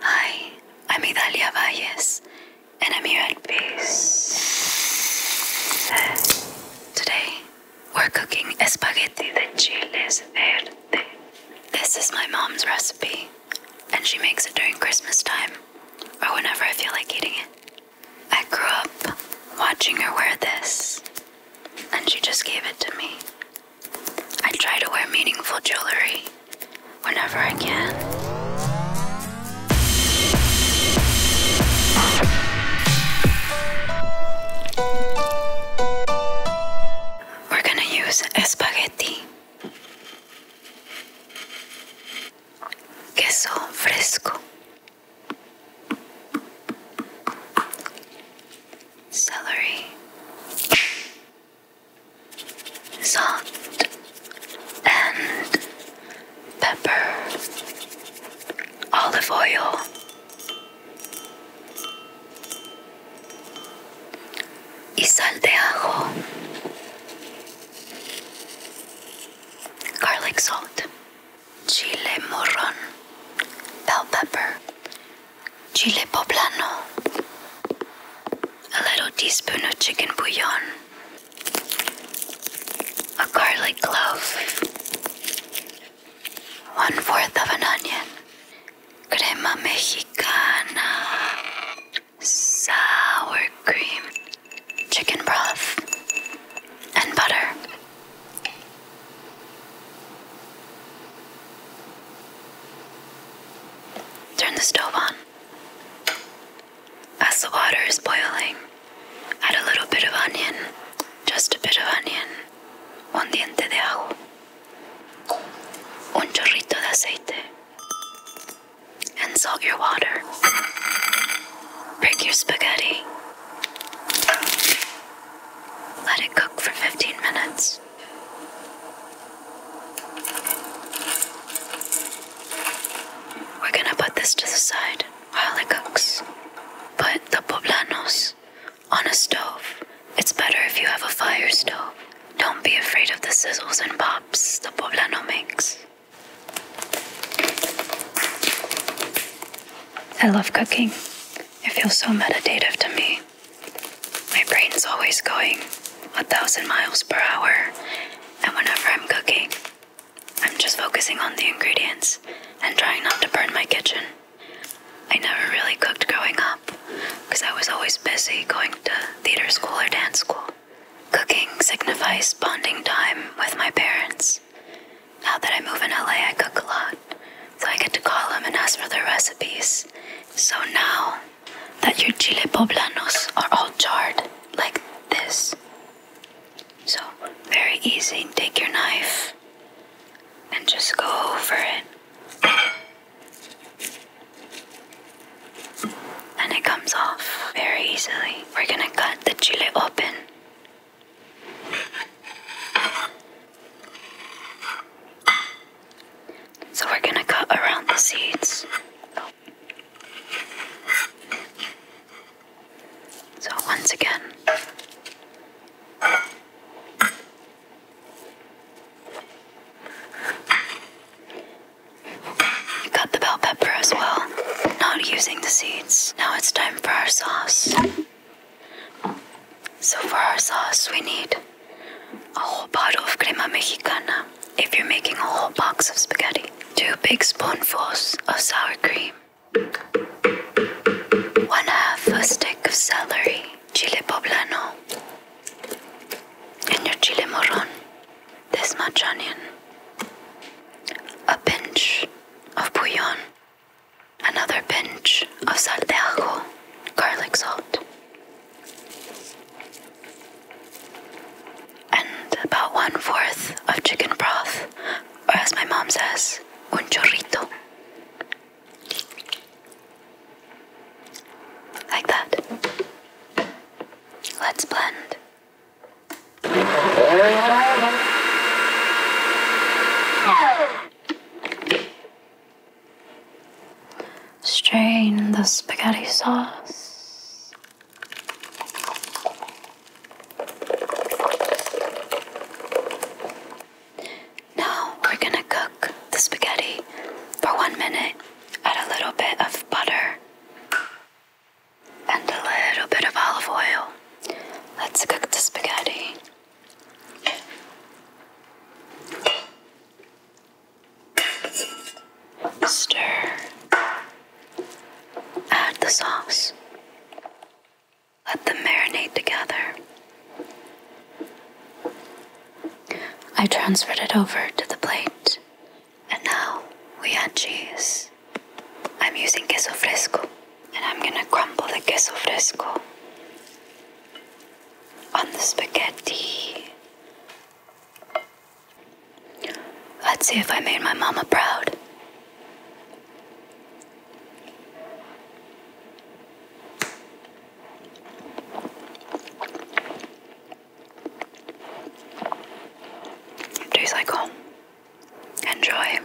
Hi, I'm Idalia Valles, and I'm here at Peace. Today, we're cooking spaghetti de chiles verde. This is my mom's recipe, and she makes it during Christmas time, or whenever I feel like eating it. I grew up watching her wear this, and she just gave it to me. I try to wear meaningful jewelry whenever I can. We're gonna use spaghetti, queso fresco, celery, salt and pepper, olive oil, y sal de ajo, garlic salt, chili moron, bell pepper, chile poblano, a little teaspoon of chicken bouillon, a garlic clove, one fourth of an onion, crema mexicana, sour cream, chicken broth, and butter. Turn the stove on. As the water is boiling, add a little bit of onion, just a bit of onion, un diente de ajo, un chorrito de aceite, and salt your water. Break your spaghetti. Let it cook for 15 minutes. We're gonna put this to the side while it cooks. Put the poblanos on a stove. It's better if you have a fire stove. Don't be afraid of the sizzles and pops the poblano makes. I love cooking. It feels so meditative to me. My brain's always going a thousand miles per hour, and whenever I'm cooking, I'm just focusing on the ingredients and trying not to burn my kitchen. I never really cooked growing up because I was always busy going to theater school or dance school. Cooking signifies bonding time with my parents. Now that I move in LA, I cook a lot, so I get to call them and ask for their recipes. So now that your chile poblanos are all charred like this, so very easy, take your knife and just go over it. And it comes off very easily. We're gonna cut the chile open. So we're going to cut around the seeds. So once again. Cut the bell pepper as well, not using the seeds. Now it's time for our sauce. So for our sauce, we need a whole bottle of crema mexicana if you're making a whole box of spaghetti. Two big spoonfuls of sour cream. One half a stick of celery, chile poblano, and your chile moron this much onion, a pinch of bouillon, another pinch of sal de ajo, garlic salt, and about one fourth of chicken broth, or as my mom says, un chorrito. Like that. Let's blend. Strain the spaghetti sauce. Now we're gonna cook the spaghetti for one minute. Add a little bit of butter and a little bit of olive oil. Let's cook the spaghetti. Stir. Add the sauce. Let them marinate together. I transferred it over to the plate and now we add cheese. I'm using queso fresco and I'm gonna crumble the queso fresco on the spaghetti. Let's see if I made my mama proud. Do cycle. Enjoy.